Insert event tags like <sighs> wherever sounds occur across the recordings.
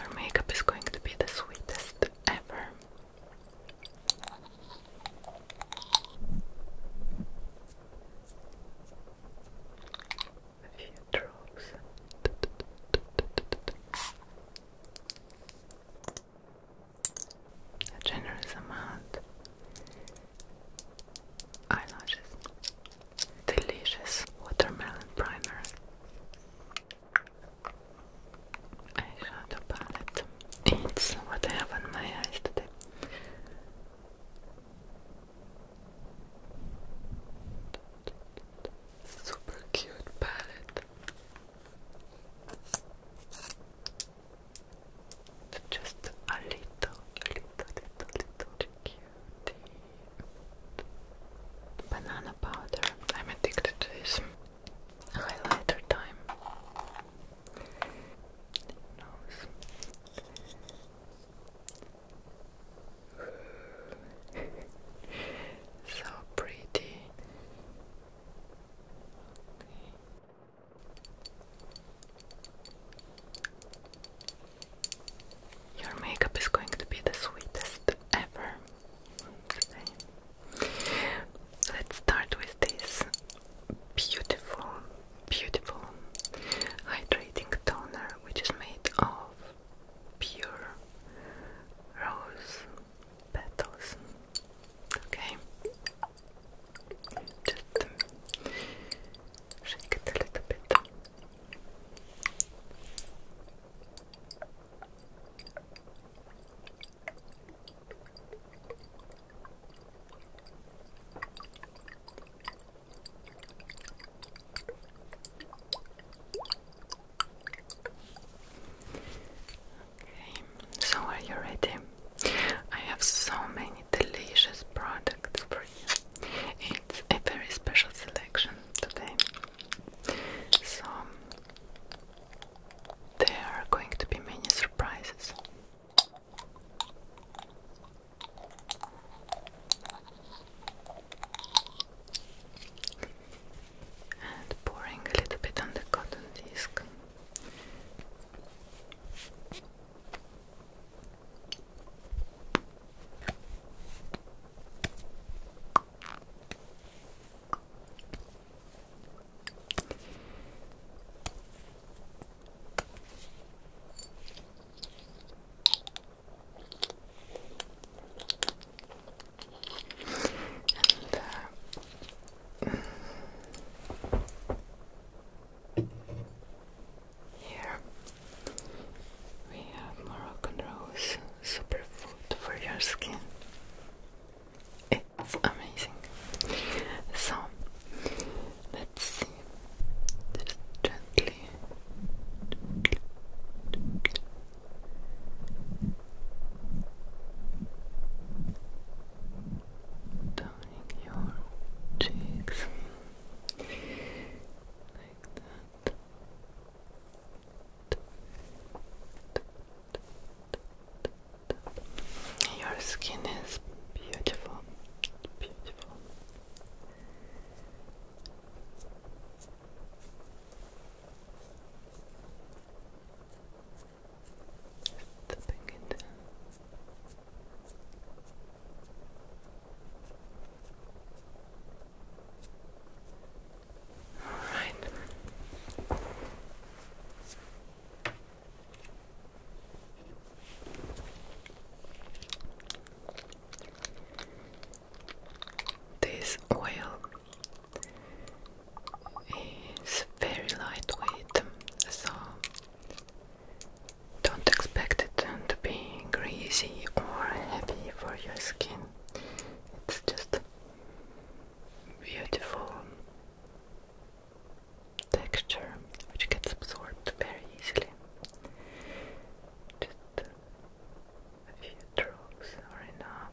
Her makeup is going to be the sweetest ever. A few drops. A generous amount. Eyelashes. Delicious watermelon primer eyeshadow palette. It's what I have on my eyes today. Super cute palette. Just a little, little, little, little cutie. Banana powder. I'm addicted to this. Highlighter time. <laughs> so pretty. Your makeup is going to be the sweetest ever. Let's start with this beautiful, beautiful hydrating toner which is made of pure rose petals. Okay. Just shake it a little bit. Okay, so are you ready? I have so many delicious products for you. It's a very special selection today. So there are going to be many surprises. And pouring a little bit on the cotton disc. And, uh, mm. here we have Moroccan Rose Superfood for your skin. It's amazing. So, let's see. Just gently. Toning your cheeks like that. Your skin is beautiful, beautiful. Stepping into all right. This oil is very lightweight, so don't expect it to be greasy or heavy for your skin. It's just beautiful texture which gets absorbed very easily. Just a few drops are enough.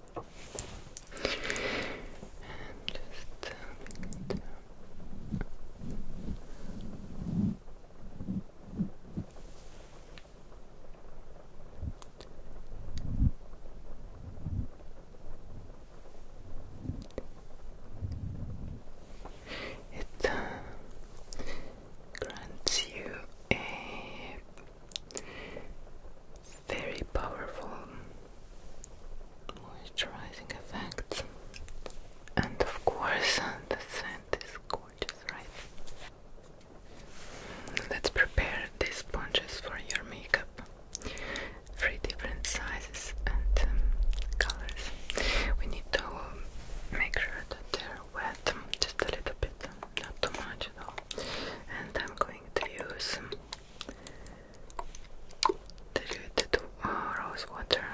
And uh, It uh, grants you a very powerful moisturizing effects. And of course, <laughs> the scent is gorgeous, right? Mm, let's prepare these sponges for your makeup. Three different sizes and um, colors. We need to make sure that they're wet, um, just a little bit, um, not too much at all. And I'm going to use diluted uh, rose water.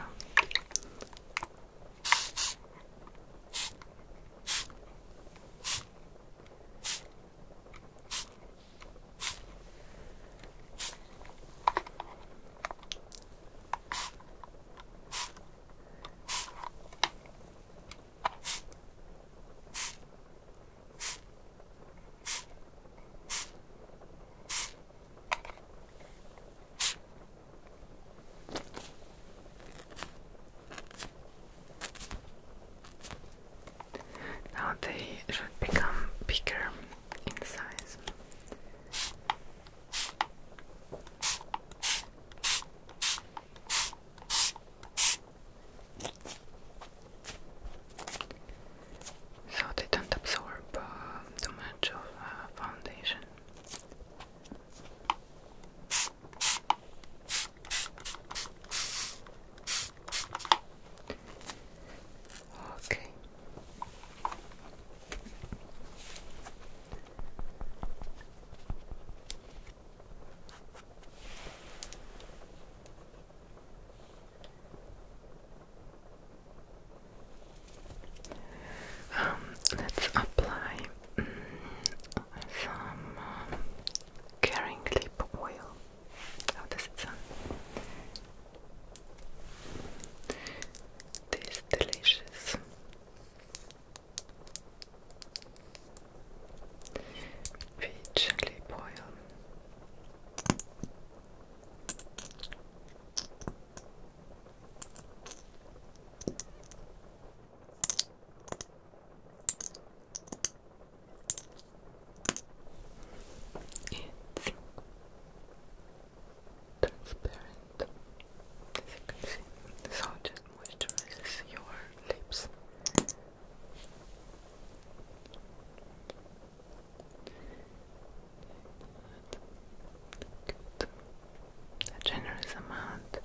Now they should become bigger in size so they don't absorb uh, too much of uh, foundation. Okay. Um, let's apply mm, some uh, caring lip oil. How does it sound? This delicious peach lip oil. It's transparent, so just moisturizes your lips. A generous amount.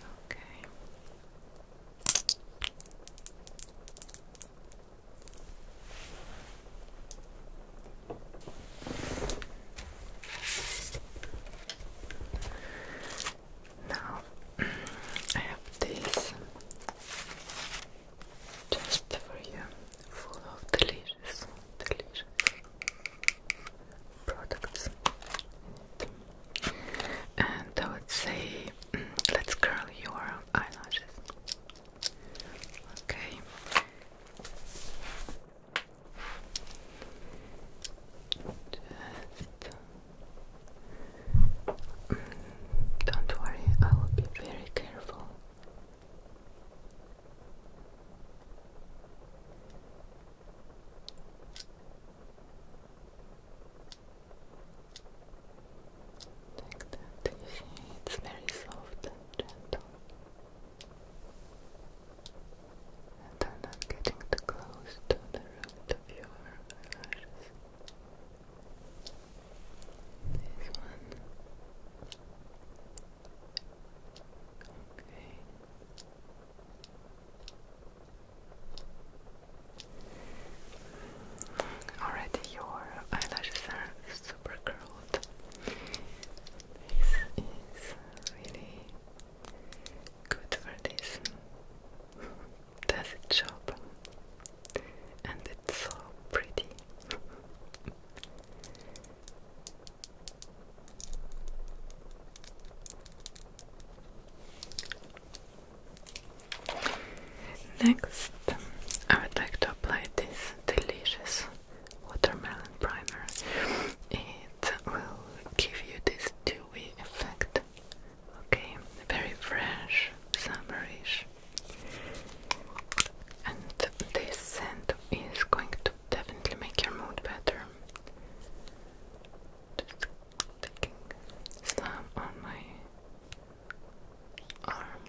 Okay. Now I have this just for you, full of delicious, delicious products. And I would say, mm, let's curl your eyelashes. Okay. Just don't worry, I will be very careful. Take that, you it's very soft and gentle and are not getting too close to the root of your eyelashes. This one. Okay. Already your eyelashes are super curled. This is really good for this. Does it job? And it's so pretty. Next, I would like to apply this delicious watermelon primer. It will give you this dewy effect Okay, very fresh, summerish. And this scent is going to definitely make your mood better. Just taking some on my arm.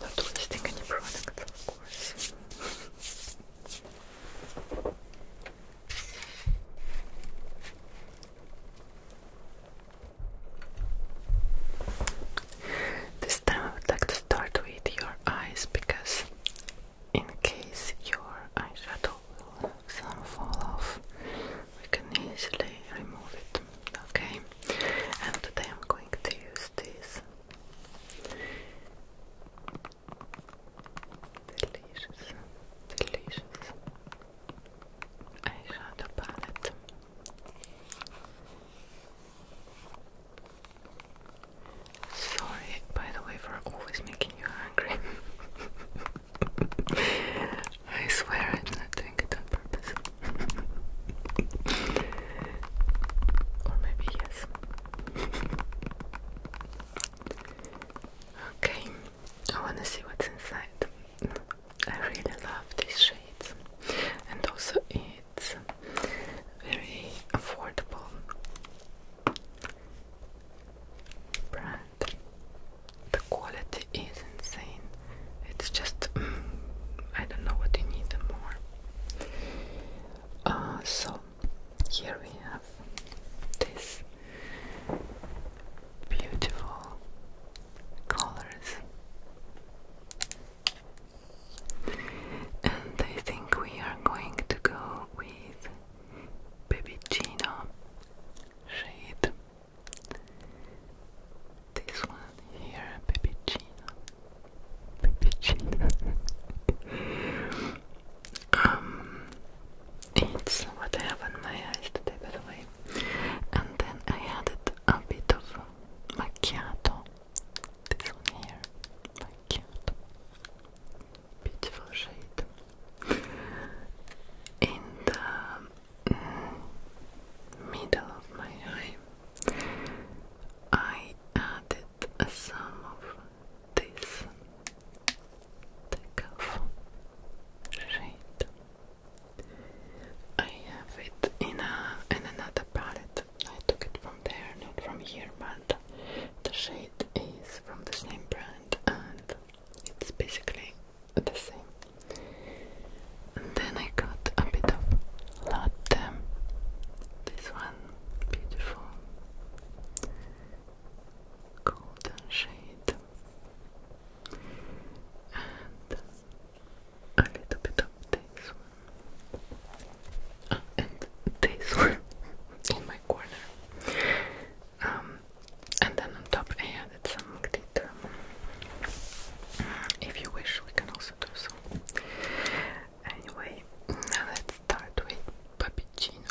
Not wasting any product, this time I would like to start with your eyes because in case your eyeshadow some fall off, we can easily remove it. Okay and today I'm going to use this delicious, delicious eyeshadow palette. Sorry, by the way, for always making you angry. <laughs> I swear I'm not doing it on purpose or maybe yes. okay, I wanna see what's inside. I really love these shades, and also it's very affordable brand. The quality it is insane. It's just mm, I don't know what you need more. Uh, so here we have this beautiful colors, and I think we are going to go with Baby Gino shade. This one here, Pepicino. Pepicino. <laughs> um, it's what I have on my eyes today, by the way. And then I added a bit of macchiato. This one here, macchiato. Beautiful shade. And um, middle of my eye, I added some of this takeoff shade. I have it in, a, and another palette. I took it from there, not from here, but the shade is from the same brand and it's basically the same. And then I got a bit of latte. This one, beautiful golden shade, and a little bit of this one, oh, and this one <laughs> in my corner. Um, and then on top, I if you wish, we can also do so. Anyway, now let's start with puppuccino.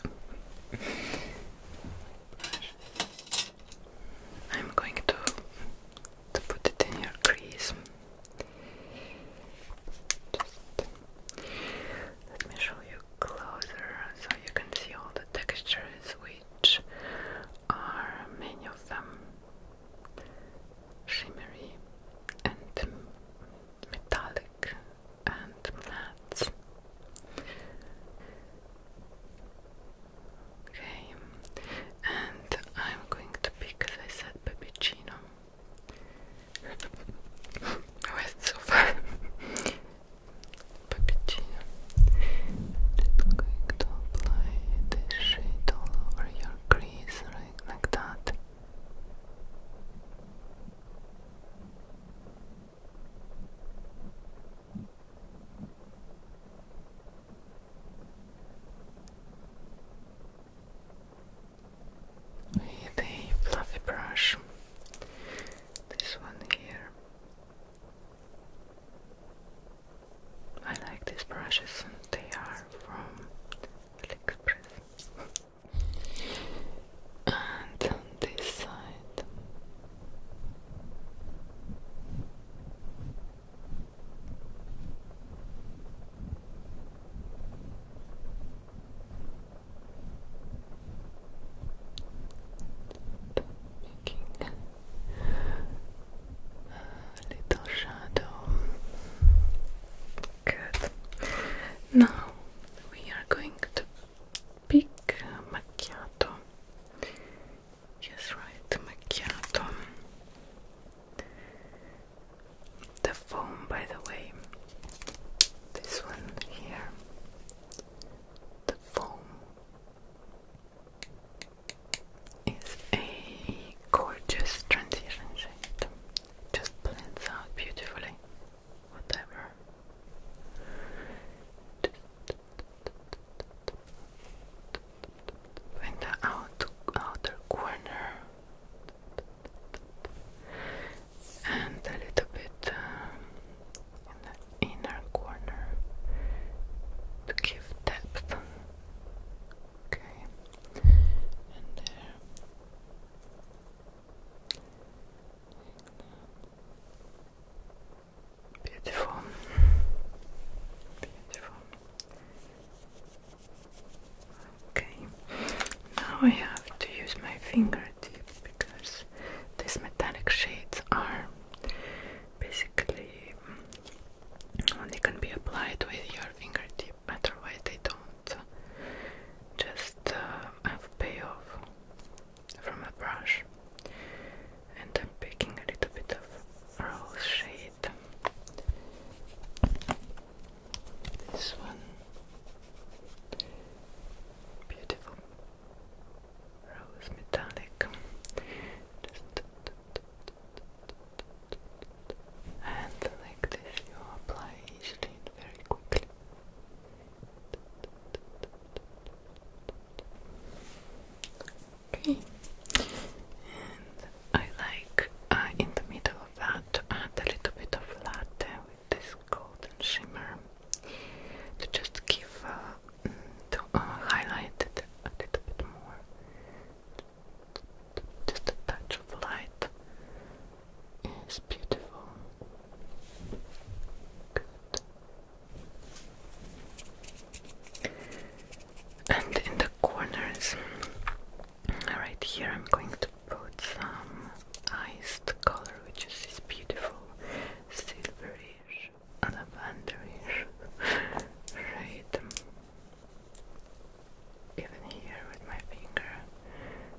I'm going to put it in your crease. Just let me show you closer so you can see all the textures which are many of them shimmery and metallic and matte. Okay, and I'm going to pick, as I said, Peppuccino. Who <laughs> oh, so far? <laughs> Peppuccino. Just going to apply this shade all over your crease, right like that. With a fluffy brush, this one here, I like these brushes, and they are from AliExpress. and on this side, making little shadow. Good. Now we are going to pick macchiato. Yes, right, macchiato. The foam, by the way, this one here, the foam is a gorgeous transition shade. Just blends out beautifully, whatever. Just in the out outer corner and a little bit um, inner corner to give depth. Okay, and there. Beautiful. Beautiful. Okay, now I have to use my fingertip because these metallic shades are basically only mm, can be applied with your fingertip, otherwise they don't just uh, have payoff from a brush. And I'm picking a little bit of rose shade. This one, beautiful. Rose Metallic. and like this, you apply each shade very quickly. Okay, and I like uh, in the middle of that add a little bit of latte with this golden shimmer to just give to uh, highlight it a little bit more. Just a touch of light is beautiful. And in the corners, right here, I'm going to put some iced color, which is beautiful, silverish lavenderish shade even here with my finger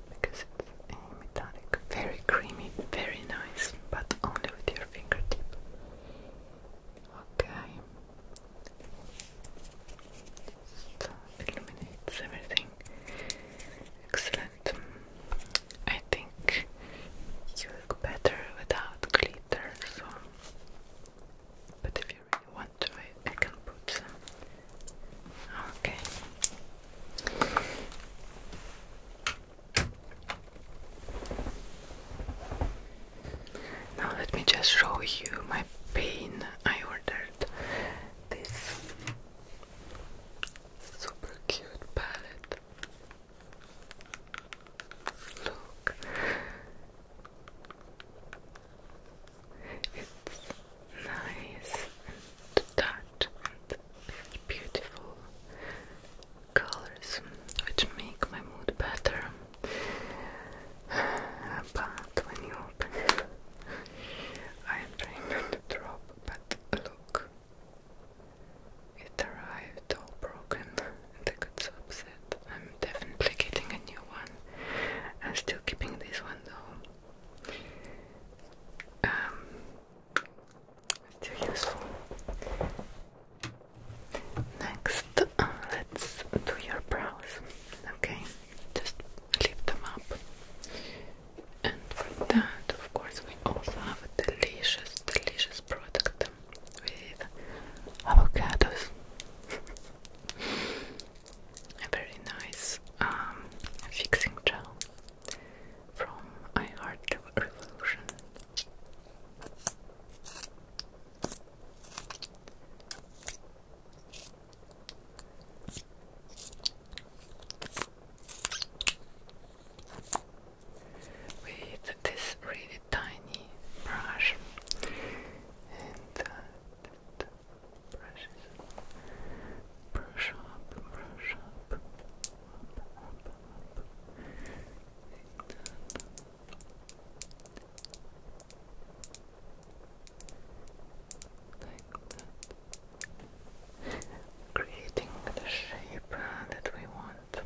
because it's a metallic, very creamy, very nice, but only with your fingertip. Okay. So everything. Excellent. I think you look better without glitter, so but if you really want to, I, can put Okay. Now let me just show you my pain. I ordered this super cute palette. Look, it's nice and touch and beautiful colors which make my mood better. But when you open I am trying drop, but look. It arrived all broken and I got so I'm definitely getting a new one. I'm still keeping this one though. Um, still useful. Next, let's do your brows. Okay, just lift them up. And for that, of course, we also have a delicious, delicious product with avocados. <laughs> A very nice um, fixing gel from I Revolution with this really tiny brush and uh, brush up, brush up, Creating the shape uh, that we want.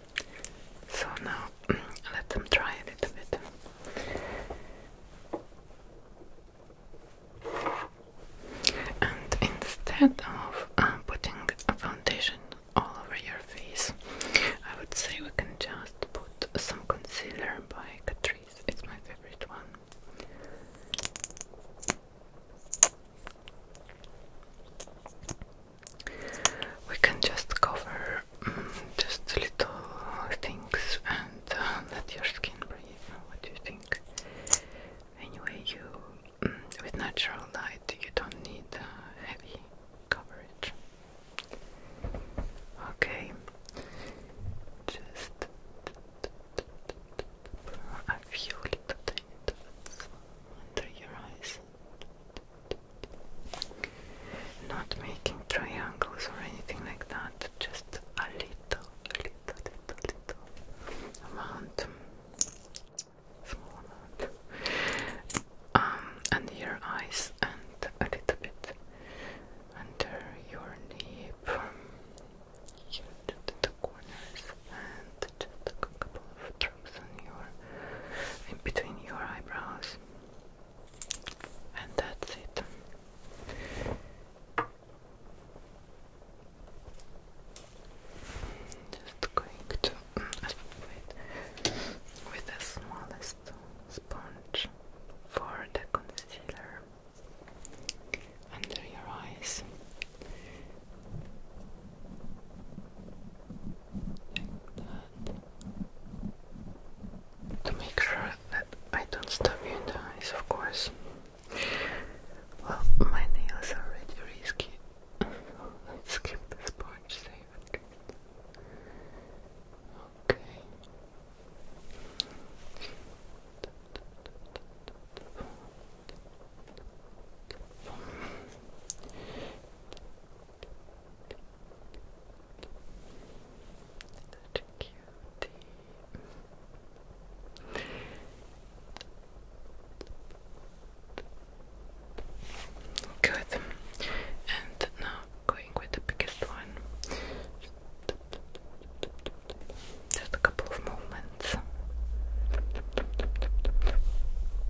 So now <clears throat> let them dry a little bit. And instead of uh, putting a foundation all over your face, I would say we can just put some concealer by Catrice. It's my favorite one we can just cover mm, just little things and uh, let your skin breathe. What do you think? Anyway, you mm, with natural light, you don't need uh, heavy coverage. Okay, just a few little things under your eyes. Not making triangles or anything like that, just a little, little, little, little amount. Small amount. under um, your eyes and a little bit under your knee from the corners and just a couple of on your, in between your eyebrows. And that's it. Just going to mm, with the smallest sponge for the concealer under your eyes to make sure that I don't stab you in the eyes, of course. Well, my nails are already risky. Let's <laughs> skip the sponge save Okay. Such a And now going with the biggest one. Just a couple of movements.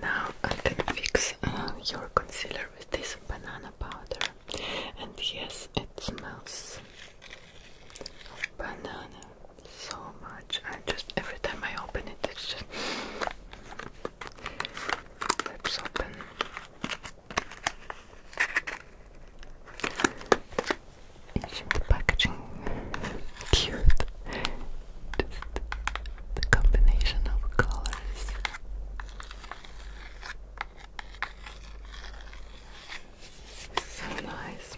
Now I can fix uh, your concealer with this banana powder, and yes, it smells of banana so much. I just every time I open it, it's just lips us open. the packaging cute? Just the combination of colors. So nice.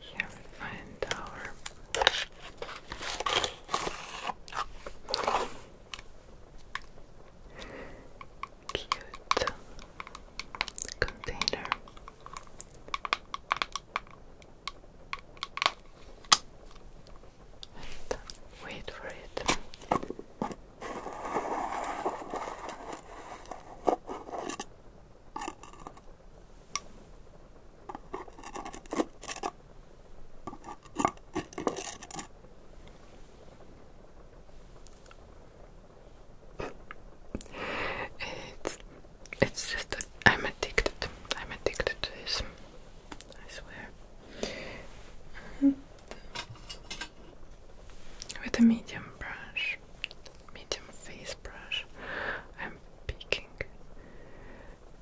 Here we find our cute container. wait for it it's it's just I'm addicted. I'm addicted to this. I swear. Mm-hmm. with a medium brush, medium face brush, I'm picking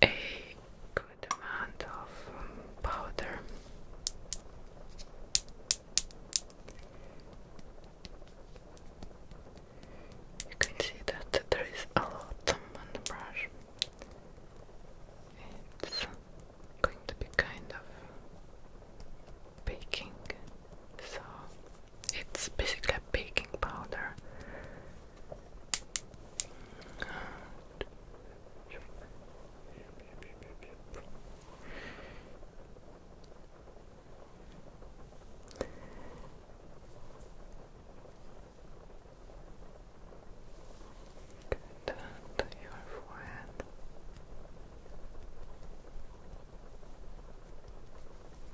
a good amount of um, powder. You can see that there is a lot on the brush. It's going to be kind of baking, so it's basically a baking powder. Good, your forehead.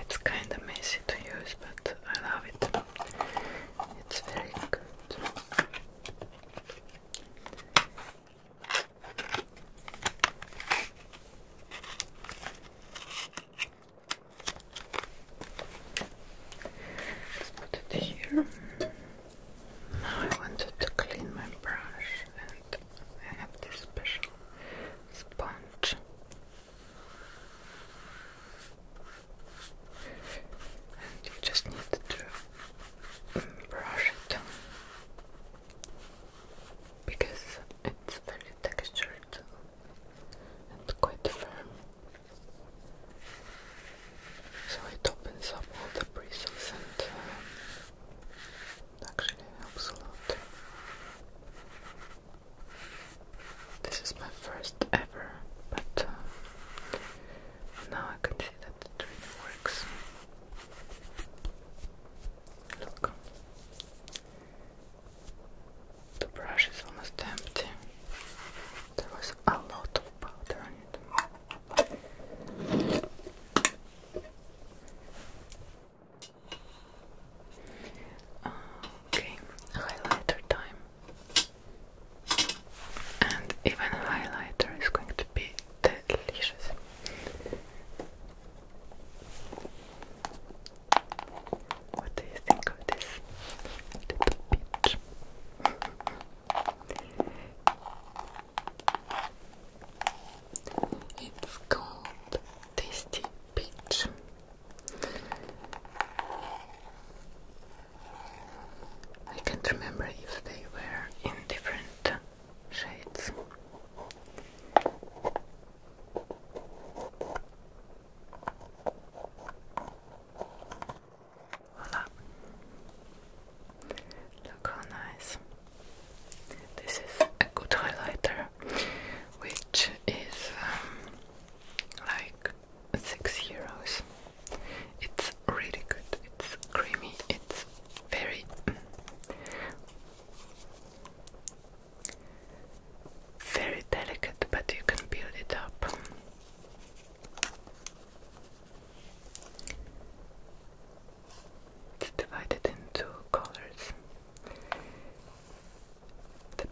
It's kind of messy to use, but I love it. It's very good. Let's put it here. Now I wanted to clean my brush and I have this special sponge. And you just need to mm, brush it because it's very textured and quite firm. So it opens up all the bristles and actually helps a lot. This is my first ever, but uh, now I can see that it really works. Look, the brush is almost empty. There was a lot of powder on it. Okay, highlighter time. And even highlighter is going to be delicious. What do you think of this little peach? It's called Tasty Peach. I can't remember if they were in different shades. Look how nice. This is a good highlighter, which is um, like six euros. It's really good. It's creamy. It's very. Mm, very delicate, but you can build it up. It's divided into colors. The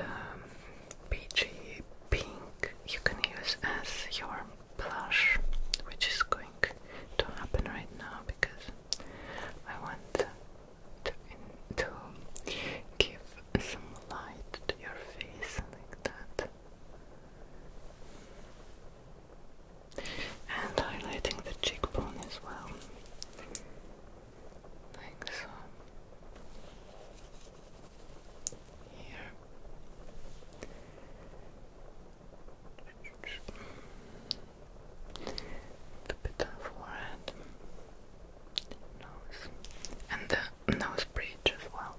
um, peachy pink you can use as your blush, which is going to happen right now because I want to, to give some light to your face like that and highlighting the cheekbone as well like so here the bit of forehead, nose, and the nose bridge as well.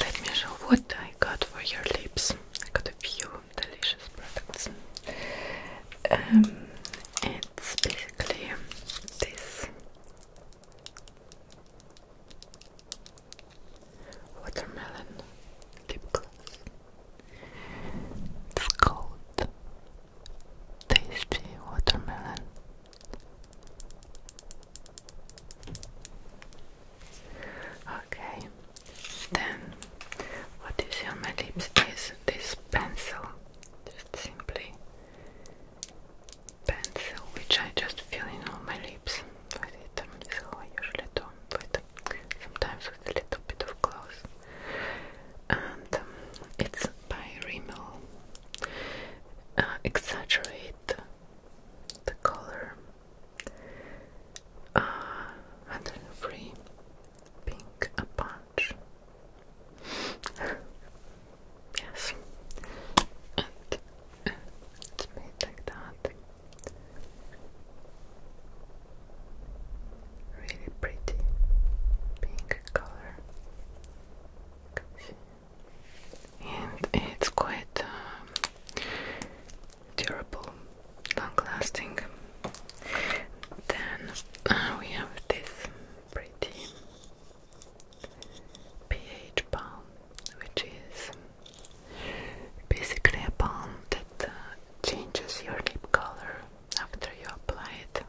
Let me show what I got for your lips. I got a few delicious products. Um, it's basically this watermelon lip gloss. It's called Tasty Watermelon Okay, then what is on my lips is this pencil, just simply pencil, which I just fill in all my lips with it. So usually do sometimes with a little bit of gloss, and um, it's by Rimmel. Uh, exaggerate the color. 103 uh, pink a punch. yes. it's made like that. Really pretty pink color and it's quite uh, durable, long-lasting. Then uh, we have this pretty pH balm, which is basically a balm that uh, changes your lip color after you apply it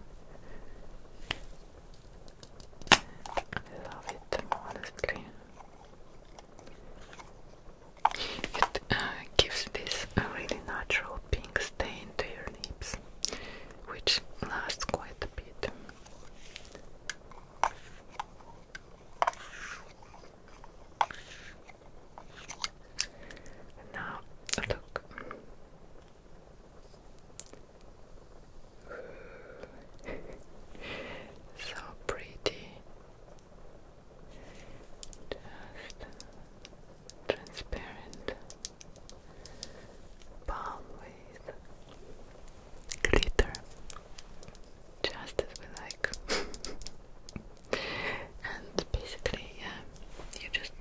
love it, honestly. Uh, it gives this really natural pink stain to your lips, which lasts quite a bit. Now, look, <sighs> so pretty. Just transparent palm with glitter. Just as we like. <laughs> and basically, yeah, you just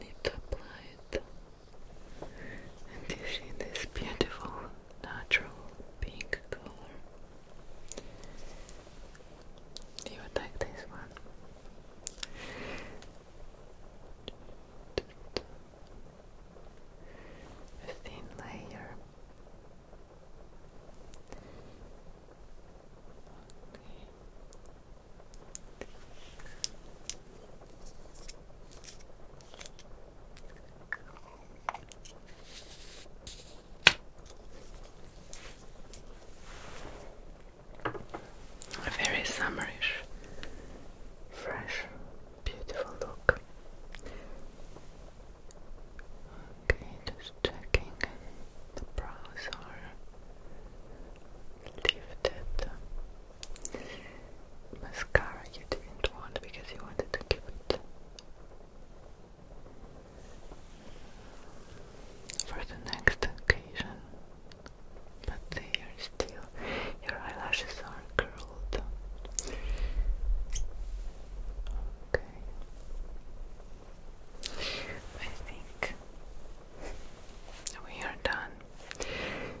need to apply it and you see this beautiful natural pink color. Do you like this one? thin layer. A very summerish, fresh, beautiful look. Okay, just checking the brows are lifted Mascara you didn't want because you wanted to keep it for the next occasion. But they are still your eyelashes are curled. Okay. I think we are done.